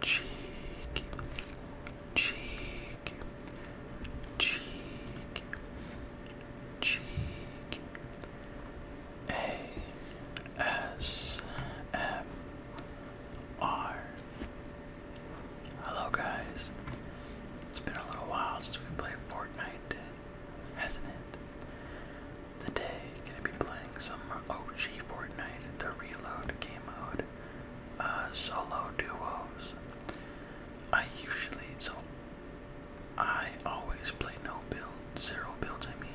cheek, cheek, cheek, cheek, A S M R. Hello guys. It's been a little while since we played Fortnite, hasn't it? Today, gonna be playing some OG Fortnite, the Reload game mode. Uh, solo duos. I usually, so I always play no build, zero builds I mean.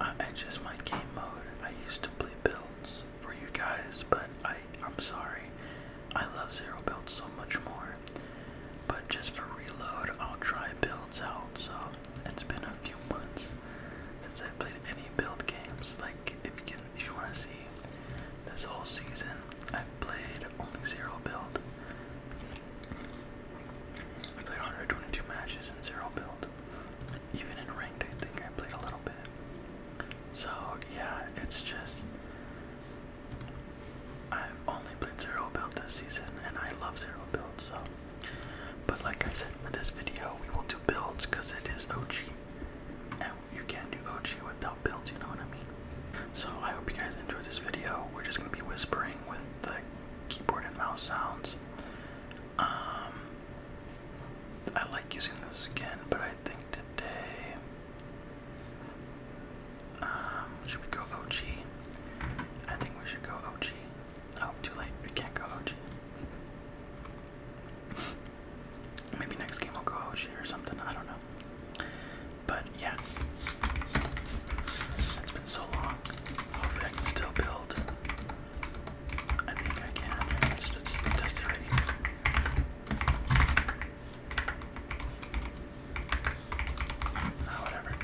I just my game mode. I used to play builds for you guys, but I, I'm sorry. I love zero builds so much more. But just for reload, I'll try builds out. So it's been a few months since I've played any build games. Like if you can, if you want to see this whole season, I've played only zero build. I played 122 matches in zero build. Even in ranked, I think I played a little bit. So yeah, it's just I've only played zero build this season, and I love zero build so. But like I said, for this video, we will do builds because it is Ochi. And you can't do Ochi without builds, you know what I mean? So I hope you guys enjoyed this video. We're just going to be whispering with the keyboard and mouse sounds. Um, I like using this again, but I think today. Um, should we go OG? I think we should go OG. Oh, too late. We can't go OG. Maybe next game I'll go Oshi or something. I don't know. But yeah, it's been so long. Hopefully I can still build. I think I can. just test it right here. Oh, ah, whatever.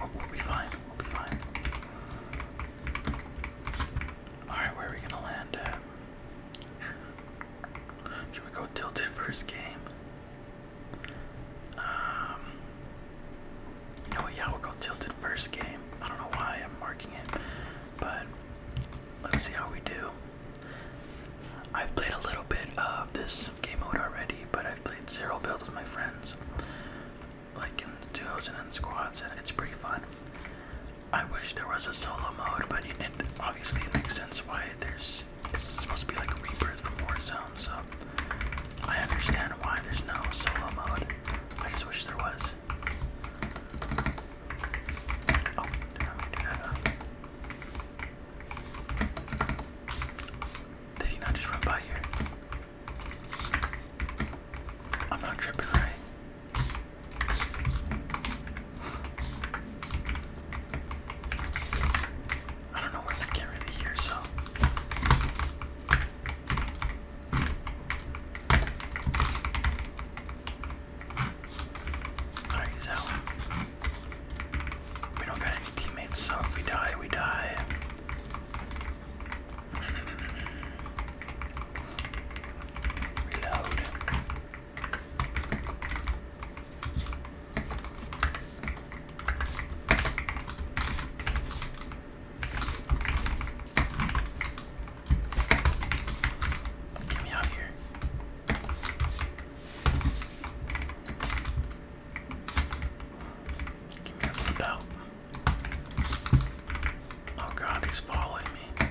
We'll, be fine. We'll be fine. Alright, where are we gonna land at? Should we go tilted first game? Um yeah, we go tilted first game. I don't know why I'm marking it, but let's see how we do. I've played a little bit of this game mode already, but I've played zero build with my friends like in duos and in squads, and it's pretty fun. I wish there was a solo mode, but it obviously makes sense why there's it's supposed to be like a rebirth from Warzone, so I understand why there's no solo mode. I just wish there was. Oh, Did uh, he not just run by here? I'm not tripping, right? I don't know where to get rid of here, so. Alright, use that one. We don't got any teammates, so if we die, we die. Reload. Get me out of here. Give me a flip out. Oh god, he's following me.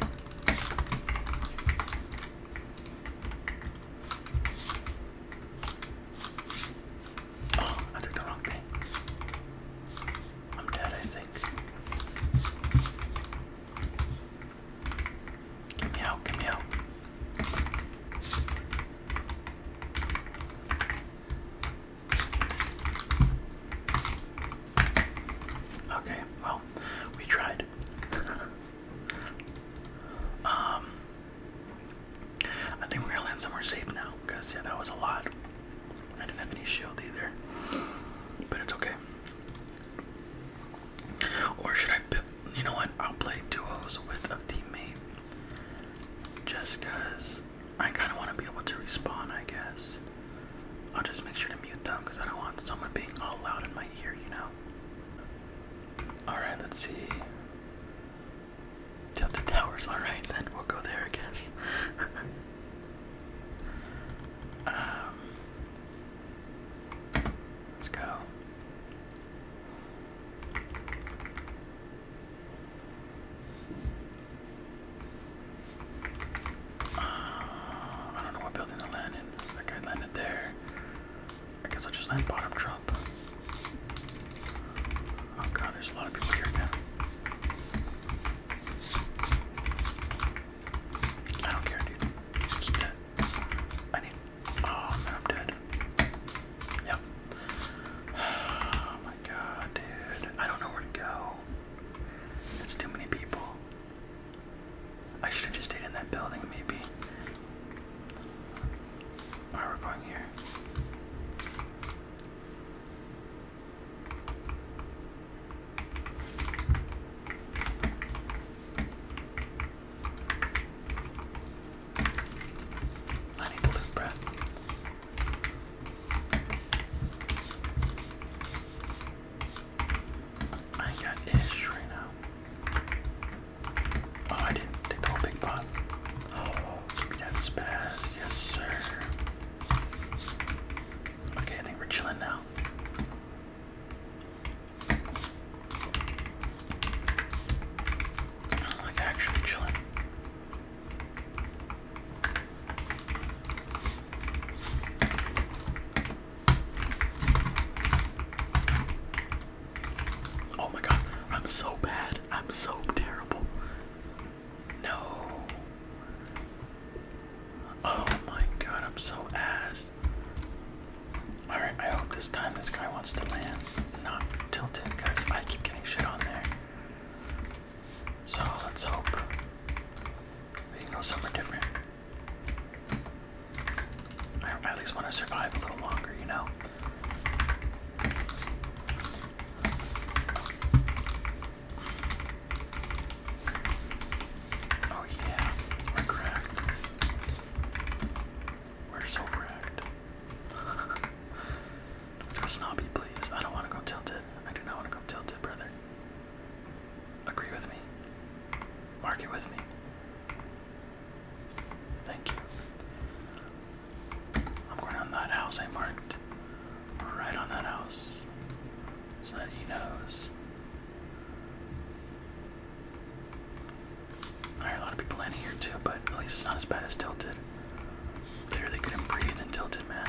Oh, I did the wrong thing. I'm dead, I think. Get me out, get me out. Okay, well, we tried. um, I think we're gonna land somewhere safe now, because yeah, that was a lot. I didn't have any shield either, but it's okay. Or should I, you know what, I'll play duos with a teammate, just I kind of want to be able to respawn, I guess. I'll just make sure to mute them because I don't want someone being all loud in my ear, you know? Alright, let's see. Tilted Towers, alright then, we'll go there, I guess. um, let's go. Uh, I don't know what building to land in. That guy landed there. I guess I'll just land bottom trump. Oh god, there's a lot of people here now. I don't care, dude. Keep that. I need. Oh man, I'm dead. Yep. Oh my god, dude. I don't know where to go. It's too many people. I should have just stayed in that building, maybe. Alright, we going here. I need to loot, bruh. I got ish right now. Oh, I didn't take the whole big pot. Oh, give that spaz. Yes, sir. Okay, I think we're chilling now. Like actually chilling. Oh my god, I'm so bad. I'm so terrible. No. Oh my god, I'm so ass. Alright, I hope this time this guy wants to land. Not tilted, because I keep getting shit on there. So let's hope we know go different. I at least want to survive a little longer, you know? Oh yeah, we're cracked. We're so cracked. Let's go snobby, please. I don't want to go tilted. I do not want to go tilted, brother. Agree with me. Mark it with me. Thank you. I'm going on that house I marked. Right on that house. So that he knows. Alright, a lot of people landing here too, but at least it's not as bad as tilted. Literally couldn't breathe and tilted, man.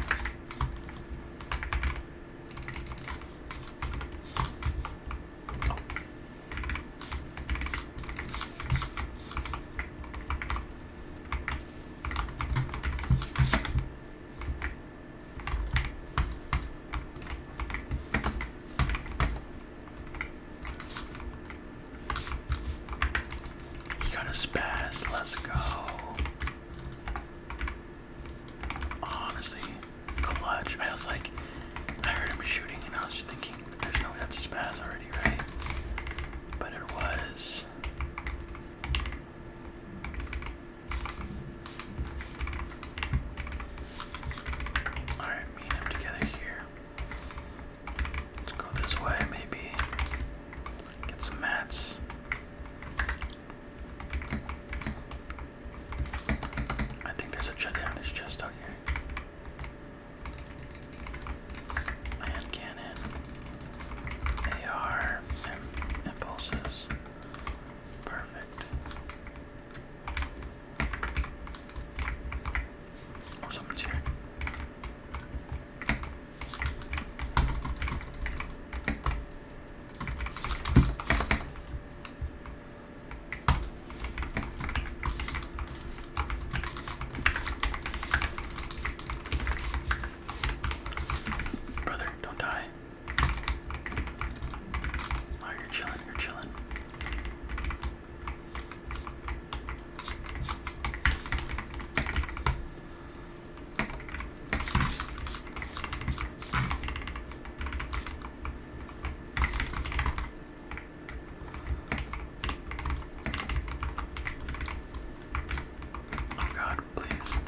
He got a spaz. Let's go. Honestly, clutch. I was like, I heard him shooting, and I was just thinking, there's no way that's a spaz already, right? But it was. Alright, me him together here. Let's go this way, maybe. Get some mats. I think there's a check on this chest out here. Man cannon, AR, impulses. Perfect. Or oh, here. Brother, don't die. Oh, you're chilling, you're chilling. Oh God, please.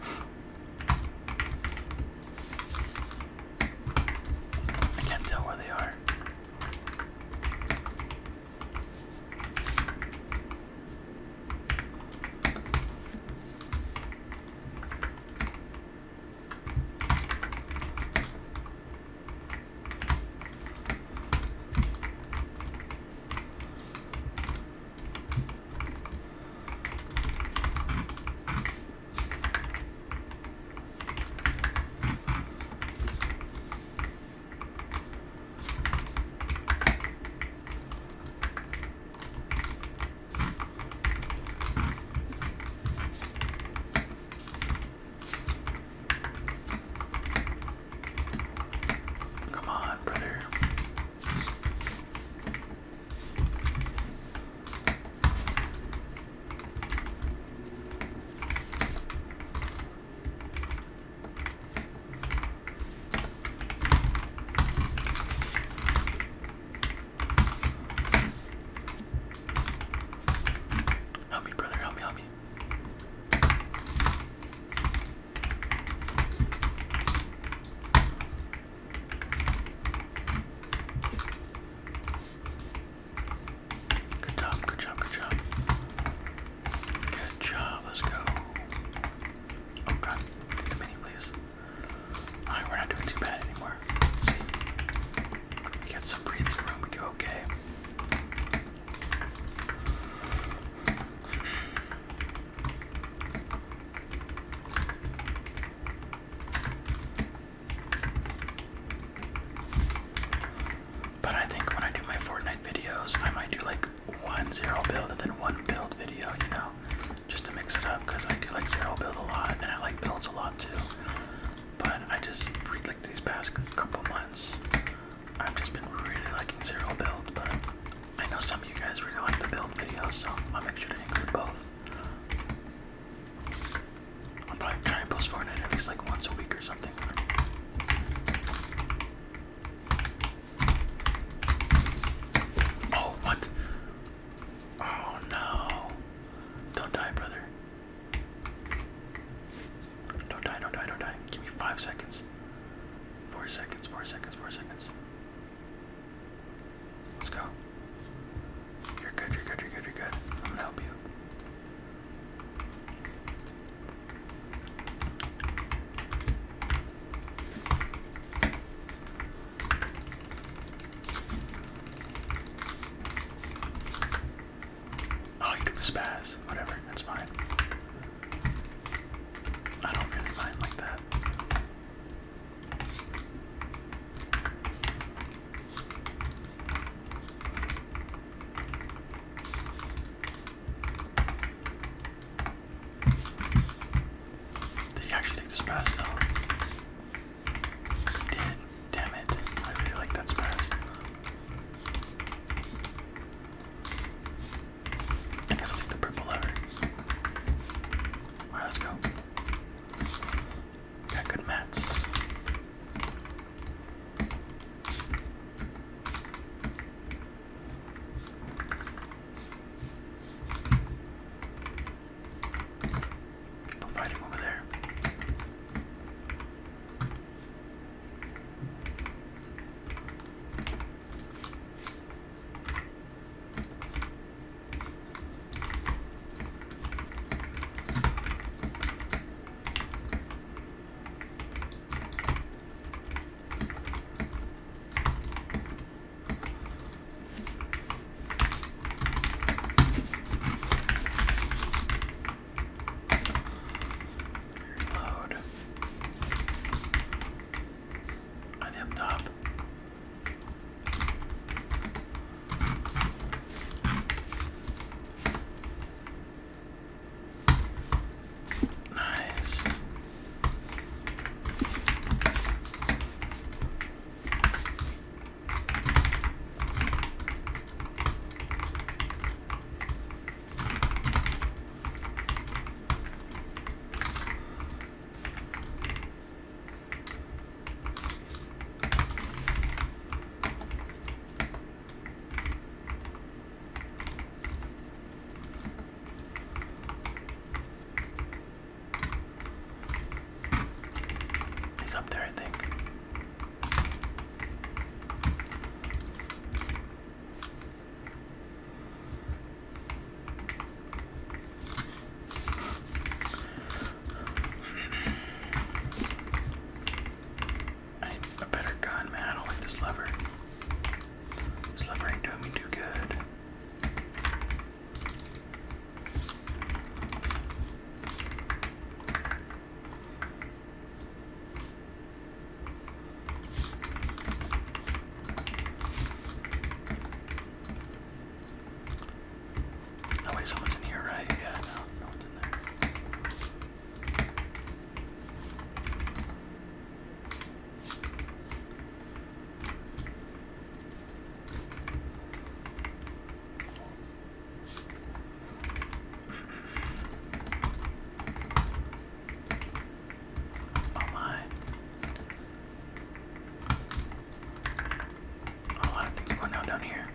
I can't tell where they are. Come on, brother. Help me, brother. Help me. Help me. Good job, good job, good job. Good job, let's go. Oh god, too many, please. Alright, we're not doing too bad anymore. See? We got some breathing room, we do okay. But I think when I do my Fortnite videos, I might do like one zero build and then one build video, you know, just to mix it up because I do like zero build a lot and I like builds a lot too. But I just read like these past couple months, I've just been really liking zero build, but I know some of you guys really like the build videos, so I'll make sure to include both. I'll probably try and post Fortnite at least like once a week or something. Oh, what? Oh no. Don't die, brother. Don't die, don't die, don't die. Give me five seconds. Four seconds, four seconds, four seconds. Let's go. You're good, you're good, you're good, you're good. I'm gonna help you. Oh, you took spaz. Whatever, that's fine. I don't really mind like that. Did he actually take this pass though? He did. Damn it. I really like that pass. I guess I'll take the purple lever. let's go. Got good mats. fighting over there. Reload. Are they up top? Nice. He's up there, I think. I need a better gun, man. I don't like this lever. This lever ain't doing me too good. No way someone's in here, right? Yeah, no, no one's in there. Oh my. A lot of things going on down here.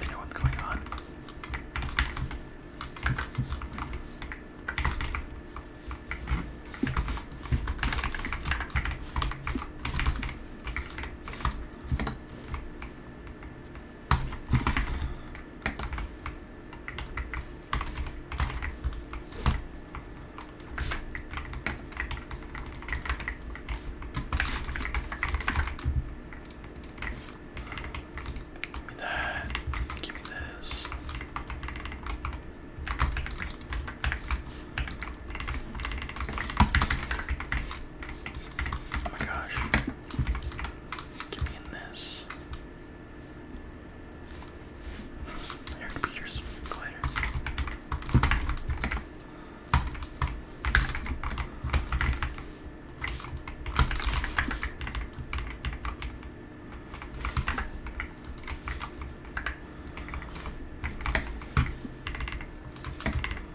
They know what's going on. Give me that. Give me this. Oh my gosh. Get me in this. Eric Peters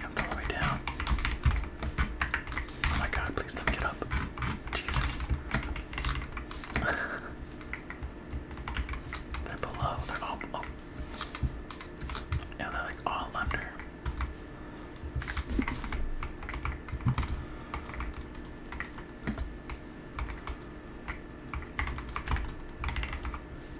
Jump all the way down. Oh my god, please don't get up. Jesus. they're below, they're all oh. Yeah, they're like all under.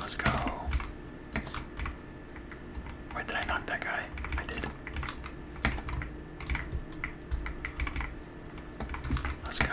Let's go. Wait, did I knock that guy? I did. Let's go.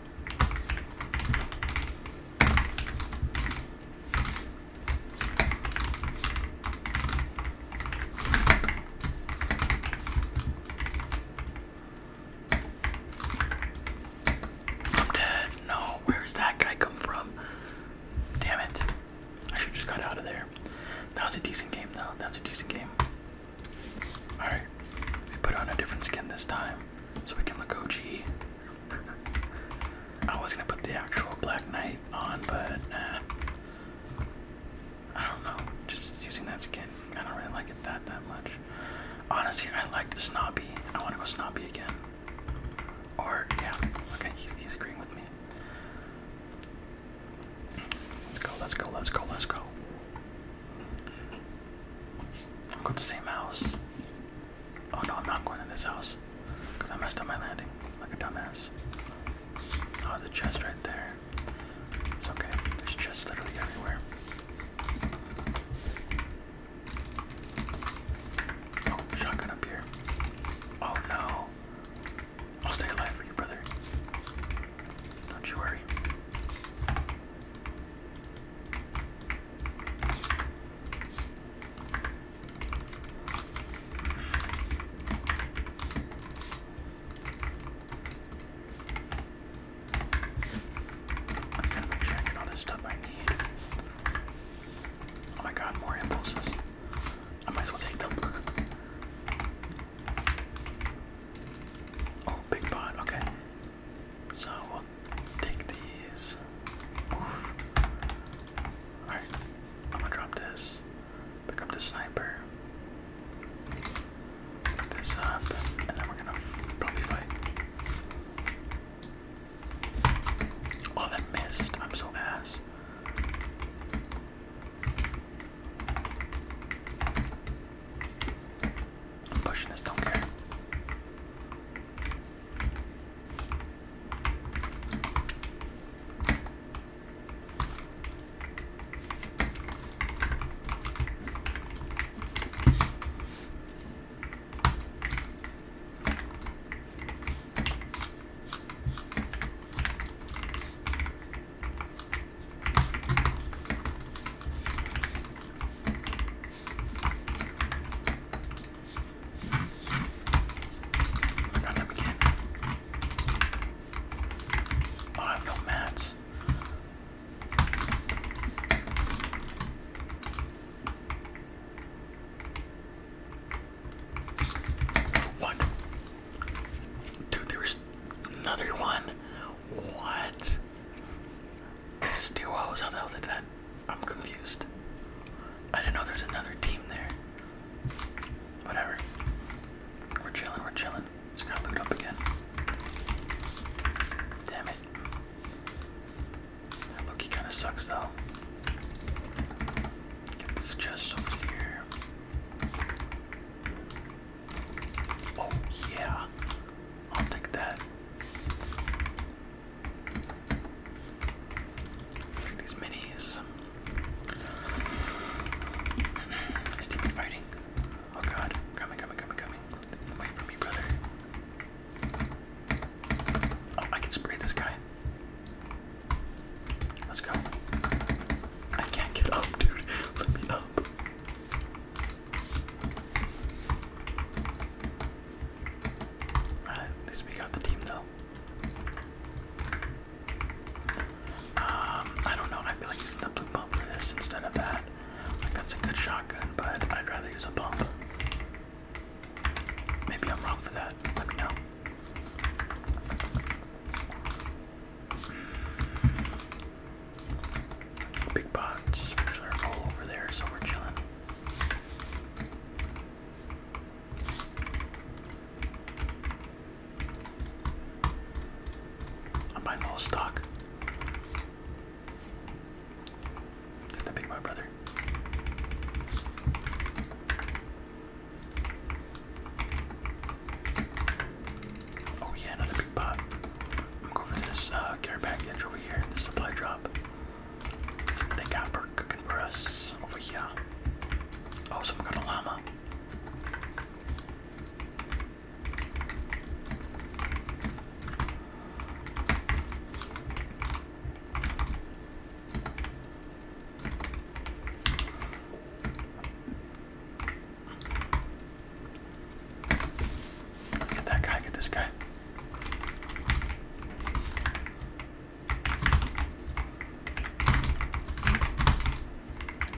I'm dead. No, where's that guy come from? Damn it. I should just got out of there. That was a decent game though. That's a decent game. Alright, we put on a different skin this time so we can look OG. I was gonna put the actual Black Knight on, but I don't know. Just using that skin, I don't really like it that that much. Honestly, I like Snobby. I want to go Snobby again. Or yeah, okay, he's, he's agreeing with me. Let's go, let's go, let's go, let's go. I'll go to the same house. Oh no, I'm not going in this house. Because I messed up my landing like a dumbass. Oh, the chest right there. It's okay. There's chests literally everywhere. Oh, shotgun up here. Oh no. I'll stay alive for you, brother. Don't you worry. I gotta make sure I get all this stuff I need. Oh my god, more impulses. I might as well take them. Oh, big pot, okay. So we'll take these. Alright, I'm gonna drop this. Pick up the sniper. Pick this up, and then we're gonna probably fight. Oh, that missed. I'm so ass. I'm pushing this, don't care. I got him again. Oh, I have no mats. What? Dude, there was another one. What? This is Duos. How the hell did that? I'm confused. I didn't know there's another team there. Whatever. We're chilling, we're chilling. Just gotta loot up again. Damn it. That Loki kinda sucks though. Get these over here. Oh, yeah. I'll take that. Take these minis. Just keep fighting. Oh god. Coming, coming, coming, coming. Wait for me, brother. Oh, I can spray this guy. Let's go. I can't get up, dude. Let me up at least we got the team though. Um, I don't know, I feel like using the blue pump for this instead of that. Like that's a good shotgun, but I'd rather use a pump. Maybe I'm wrong for that. Let me know. Big pots, are all over there, so we're chilling. I'm buying all stock. Did that big my brother? Oh yeah, another big pot. I'm going for this uh, care package over here, the supply drop. See what they got for cooking for us over here. Oh, someone got a llama. Get that guy, get this guy.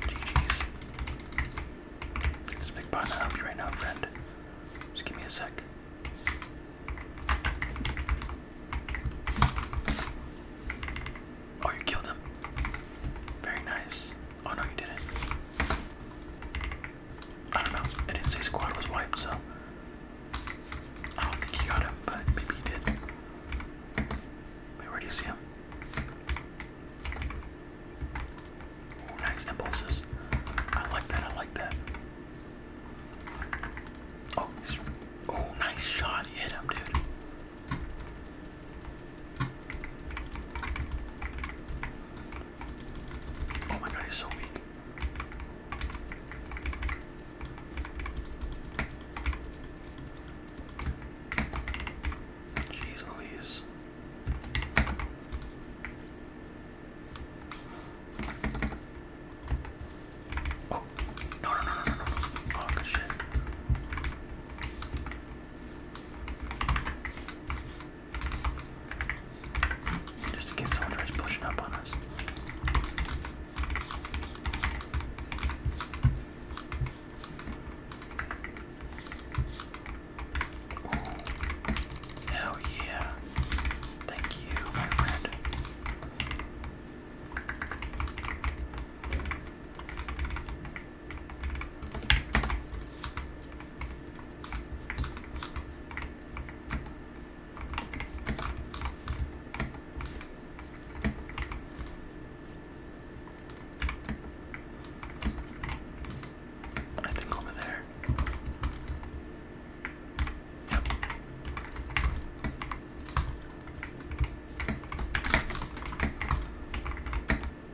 GG's. This big button help you right now, friend. Just give me a sec. Oh, you killed him. Very nice. Oh no, you didn't. I don't know. I didn't say squad was wiped, so I don't think he got him, but maybe he did. Wait, where do you see him? Ooh, nice impulses. I like that, I like that. Oh, oh, nice shot. You hit him, dude. Oh my god, he's so weak. Jeez Louise. Oh, no, no, no, no, no, no. Oh, just in case someone tries pushing up on us. Ooh. Hell yeah. Thank you, my friend. I think over there. Yep.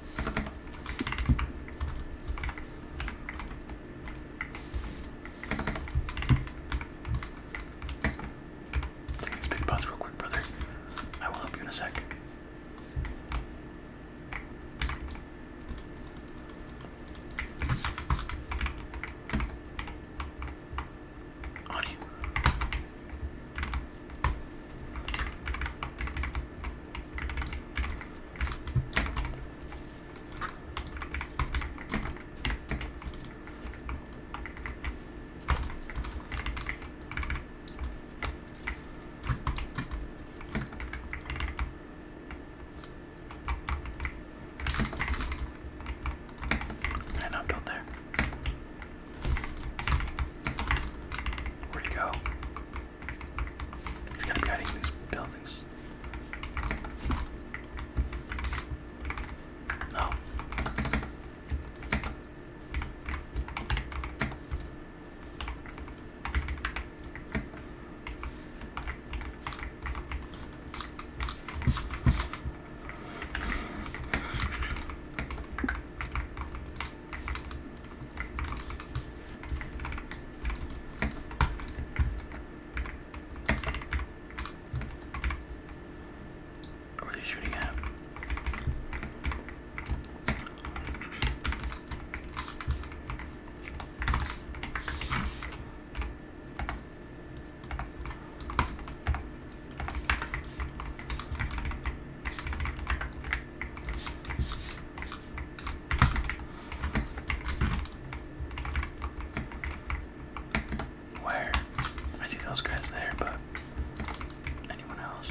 these big pots real quick, brother. I will help you in a sec. On I'm built there. Where'd you go? He's gotta be hiding in these buildings. No. What are they shooting at? Where? I see those guys there, but anyone else?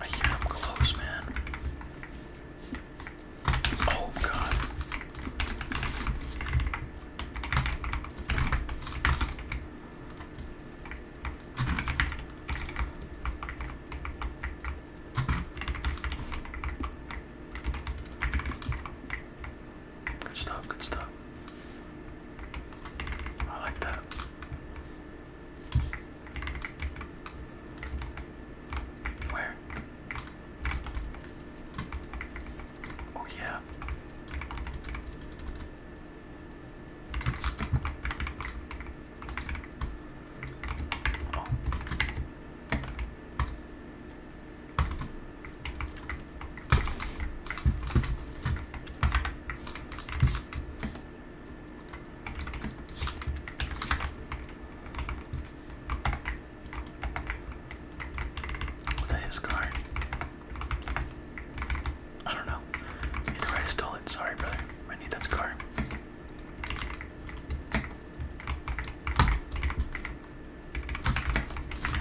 I hear him close, man. Oh god. Good stuff, good stuff. I like that. Where? Oh, yeah. Oh. Was that his card? I don't know. Either I stole it. Sorry, brother. I need that scar.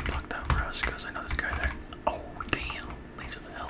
Block that for us, cause I know this guy there. Oh damn! Laser the hell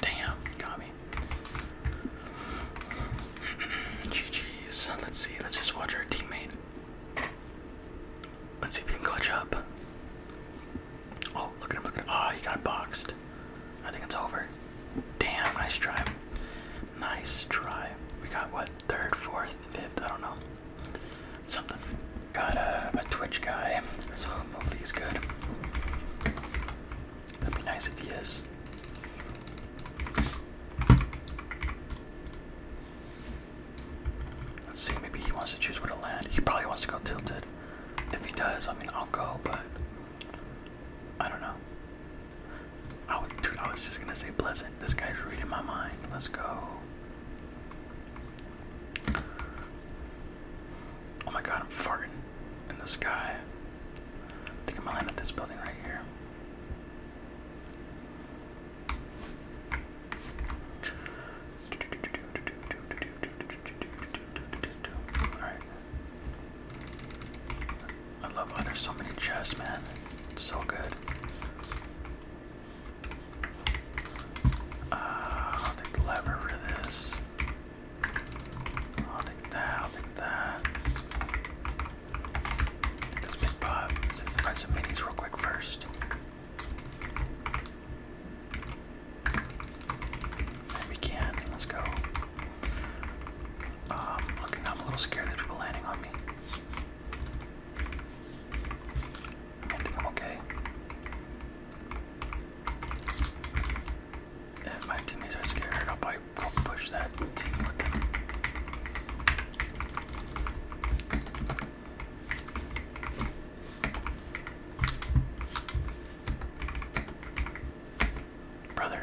Damn, got me. GG's. Let's see. Let's just watch our teammate. Let's see if we can clutch up. Oh, look at him, look at him. Oh, he got boxed. I think it's over. Damn, nice try. Nice try. We got what? Third, fourth, fifth? I don't know. Something got a, Twitch guy, so hopefully he's good. That'd be nice if he is. Let's see, maybe he wants to choose where to land. He probably wants to go tilted. If he does, I mean, I'll go, but I don't know. I was just gonna say pleasant. This guy's reading my mind. Let's go. Oh my god, I'm farting in the sky. think I'm gonna land at this building right here. Alright. I love oh so many chests, man. It's so good. Uh, I'll take the lever for this. I'll take that, I'll take that. Take this big pop. Let's find some minis real quick first. Maybe can. Let's go. Um, I'm a little scared that people landing on me. I think I'm okay. If my teammates are scared, I'll probably push that team Brother.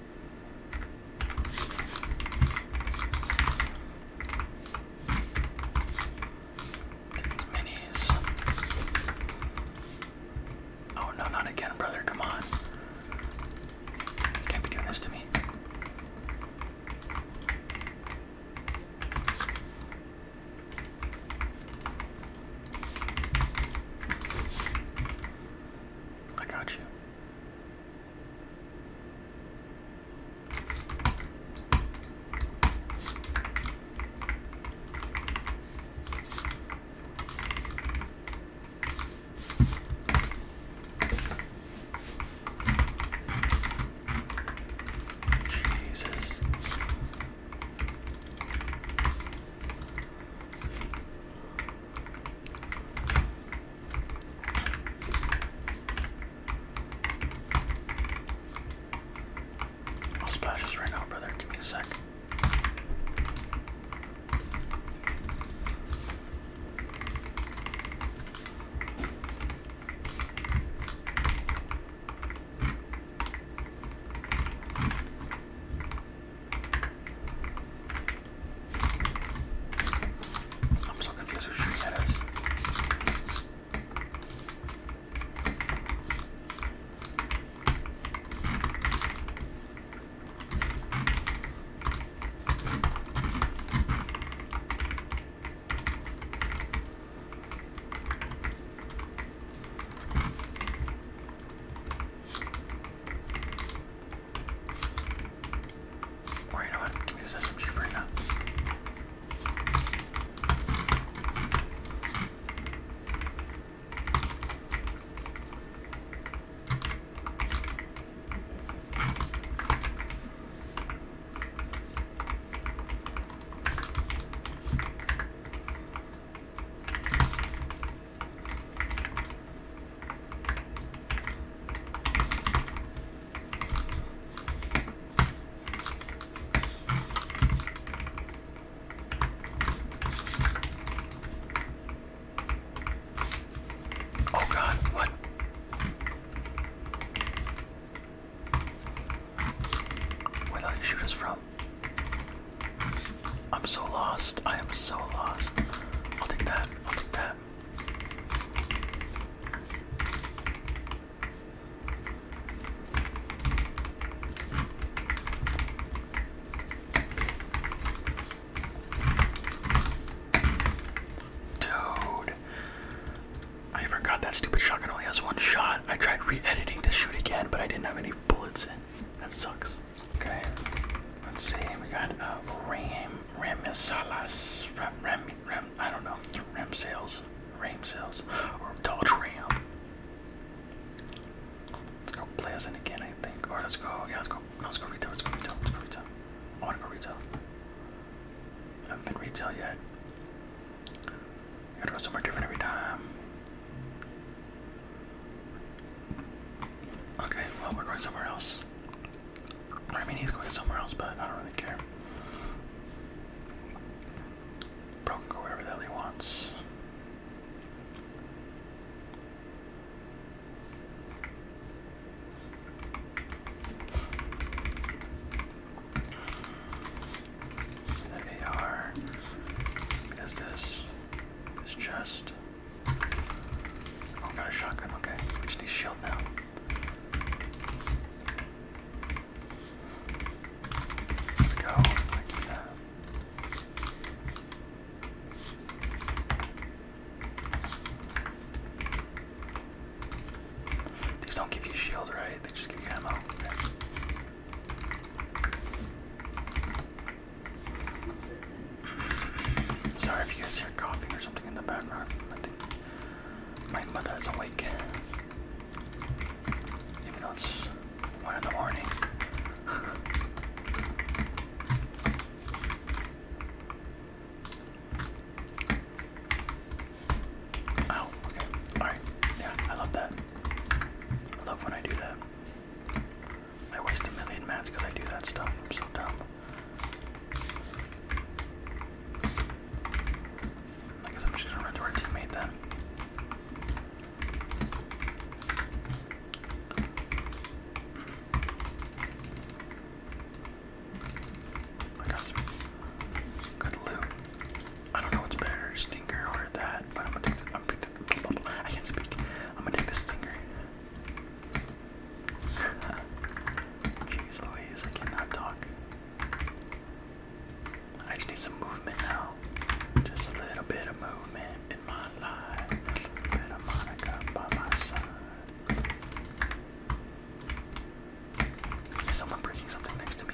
Minis. Oh no, not again, brother. Come on. can't be doing this to me. I got you. Jesus. I'll splash this right now, brother. Give me a sec. I'm so confused who shooting that is. Or you know what? Give me this SMG for now. Oh God, what? Where did you shoot us from? I'm so lost. I am so lost. I'll take that. I'll take that. Dude, I forgot that stupid shotgun only has one shot. I tried re-editing to shoot again, but I didn't have any bullets in. That sucks. Okay, let's see. We got a uh, Ram Ramisalas Ram Ram I don't know. Ram sales, Ram sales, or Dodge Ram. Let's go play us in again, I think. All let's go. Yeah, let's go. No, let's go retail. Let's go retail. Let's go retail. I want to go retail. haven't been retail yet. gotta go somewhere different every time. Okay, well, we're going somewhere else. I mean, he's going somewhere else, but I don't really care. Bro can go wherever the hell he wants. The AR. Is this? This chest. Oh, I got a shotgun, okay. We just shield now. go, These don't give you shield, right? They just give you ammo. Sorry if you guys hear coughing or something in the background. I think my mother is awake. Even it's one in the morning. oh, okay. Alright. Yeah, I love that. I love when I do that. I waste a million mats because I do that stuff. I'm so dumb. I guess I'm just gonna run to our teammate then. I got some good loot. I don't know what's better, stinker or that, but I'm gonna take the, I'm gonna take the, I can't speak. I'm gonna take the stinker. Jeez Louise, I cannot talk. I just need some movement now. Just a little bit of movement in my life. A bit of Monica by my side. Is someone breaking something next to me?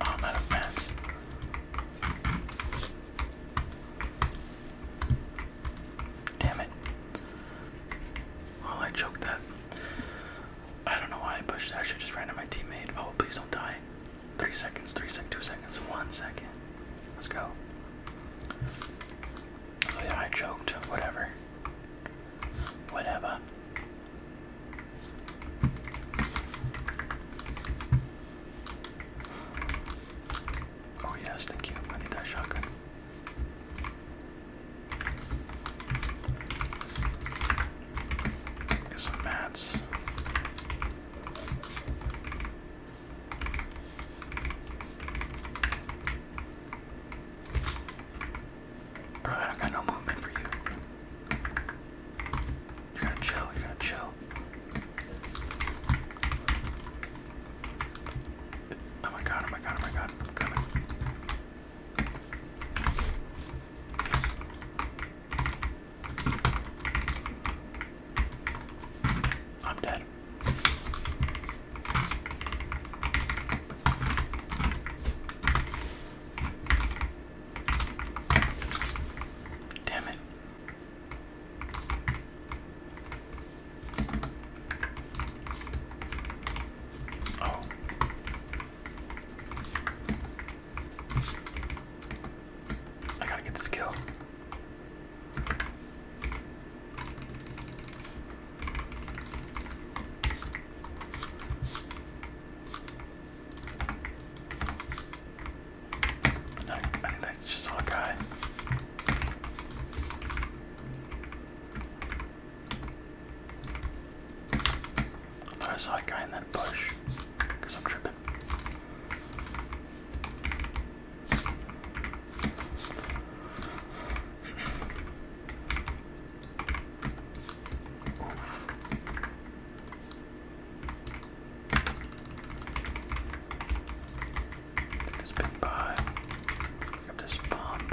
I'm out of pants. Damn it. Well, I choked that. I don't know why I pushed I should just ran at my teammate. Oh, please don't die. Three seconds, three seconds, two seconds, one second. Let's go. So, yeah, I choked. Whatever. Whatever. Oh yes, thank you. I need that shotgun. Get some mats. Bro, I got no movement for you. You're to chill, you're to chill. Oh my god, oh my god, oh my god, coming. I'm dead. Damn it. Oh. I gotta get this kill. No, I think that's just guy. I thought I saw a guy in that bush because I'm tripping. Take this big buy. Grab this pump.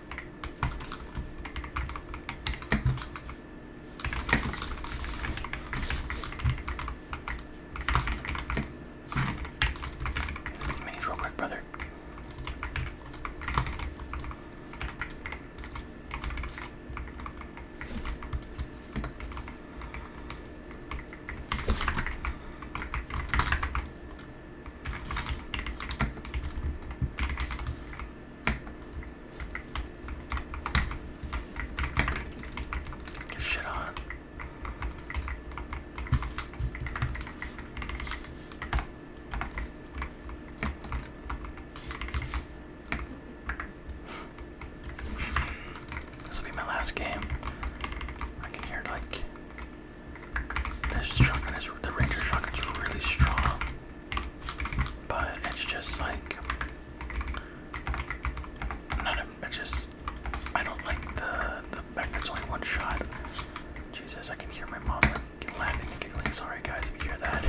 Excuse me real quick, brother. Get shit on. This will be my last game. I can hear like this shotgun is the Ranger shotgun's really strong, but it's just like not a. just I don't like the the fact only one shot. Jesus, I can hear my mom laughing and giggling. Sorry guys, if you hear that.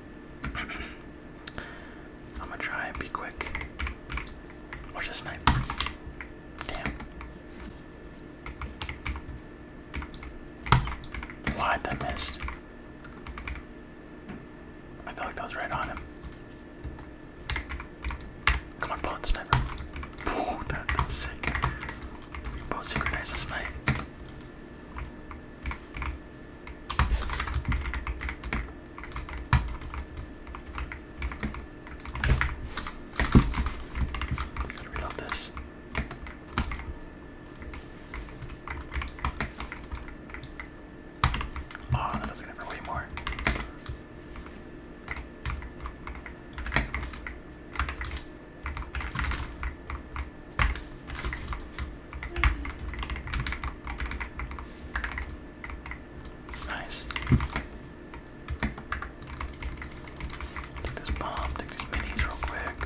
I'm gonna try and be quick. or just snipe. Damn. What? I missed. I feel like was right on him. Come on, pull out the sniper. Oh, that's sick. We both synchronize the snipe. Gotta this. Oh, no, that's gonna hurt more. Nice. Take this bomb, take these minis real quick.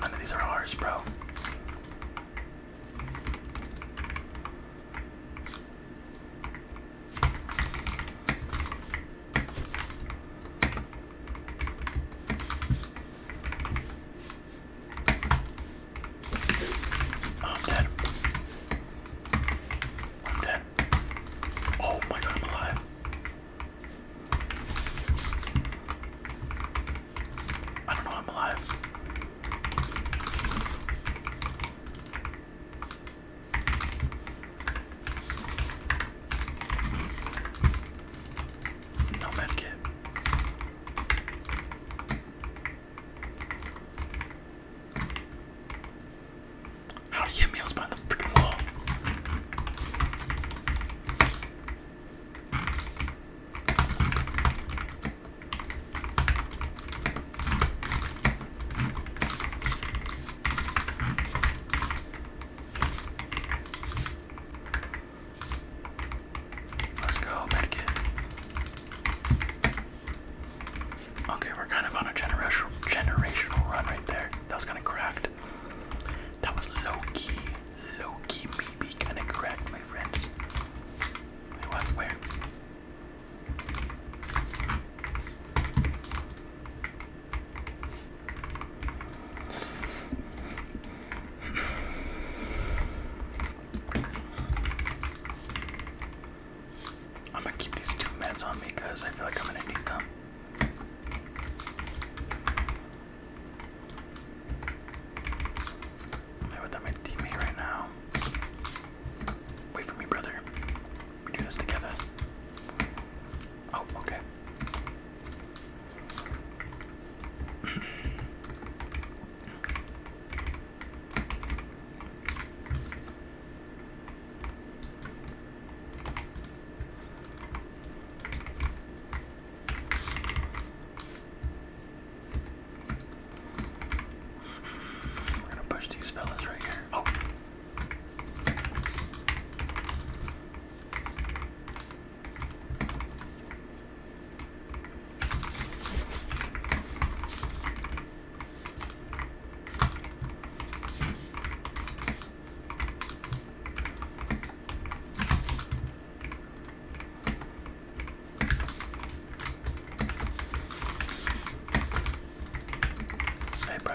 none of these are ours, bro. I'm dead. I'm dead. Oh my god, I'm alive. I don't know, I'm alive. No medkit. How did he hit me? I was the freaking wall. Let's go, medkit. Okay, we're kind of on a generational generational run right there. That was kind of cracked. That was low key, low key, maybe kind of cracked, my friends. Wait, what? Where? I'm gonna keep these two meds on me because I feel like I'm gonna need them. I would have my teammate right now. Wait for me, brother. We do this together. Oh, okay. We're gonna push these fellas right here. Oh. Hey, bro,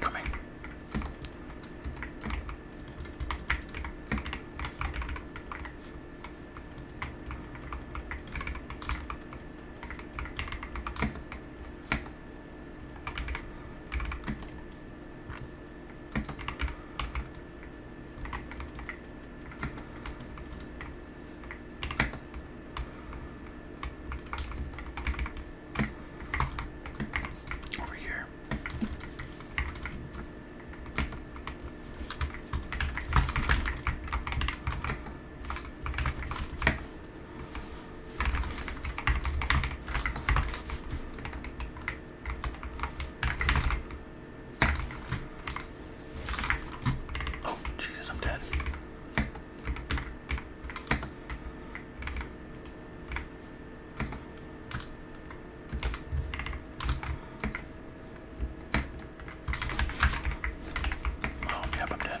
Coming. Over here. Oh, Jesus, I'm dead. Oh, yep, I'm dead.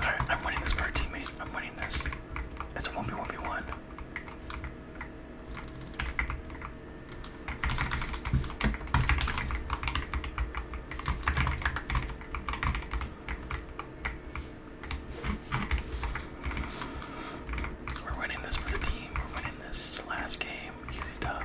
Alright, I'm winning this for our teammate. I'm winning this. It's a 1v1v1. We're winning this for the team. We're winning this last game. Easy dub.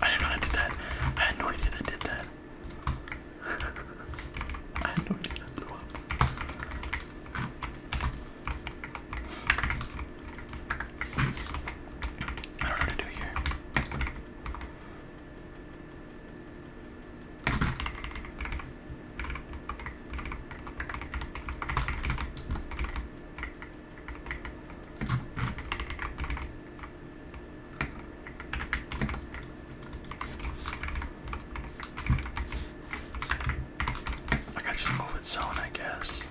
I didn't know I did that. I had no idea that did that. I had no idea that blew up. I don't know what to do here. I gotta just move its zone, I guess.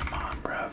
Come on, bruv.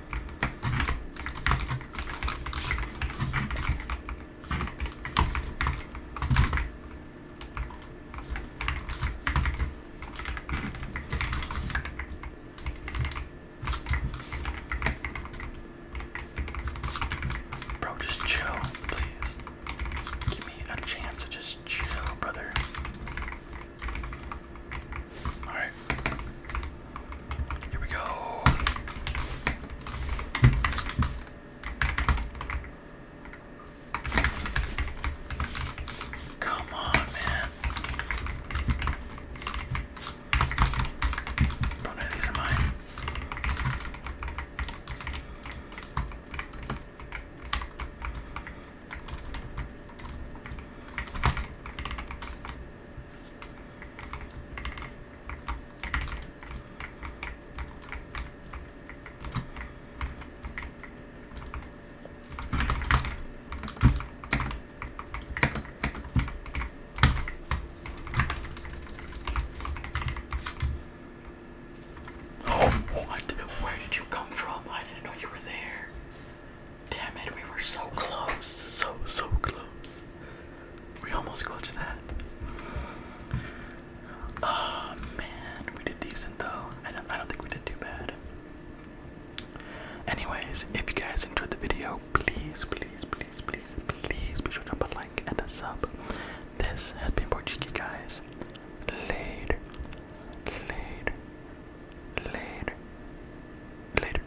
Bro, just chill, please. Give me a chance to just chill, brother. All right. Here we go. Come on, man. Oh, no, these are mine. Oh, what? Where did you come from? I didn't know you were there. Damn it, we were so close. So, so close. We almost clutched that. Oh man, we did decent though. I don't, think we did too bad. Anyways, if you guys enjoyed the video, please, please, please, please, please be sure to drop a like and a sub. This has been Porchiki, guys. Later, later, later, later.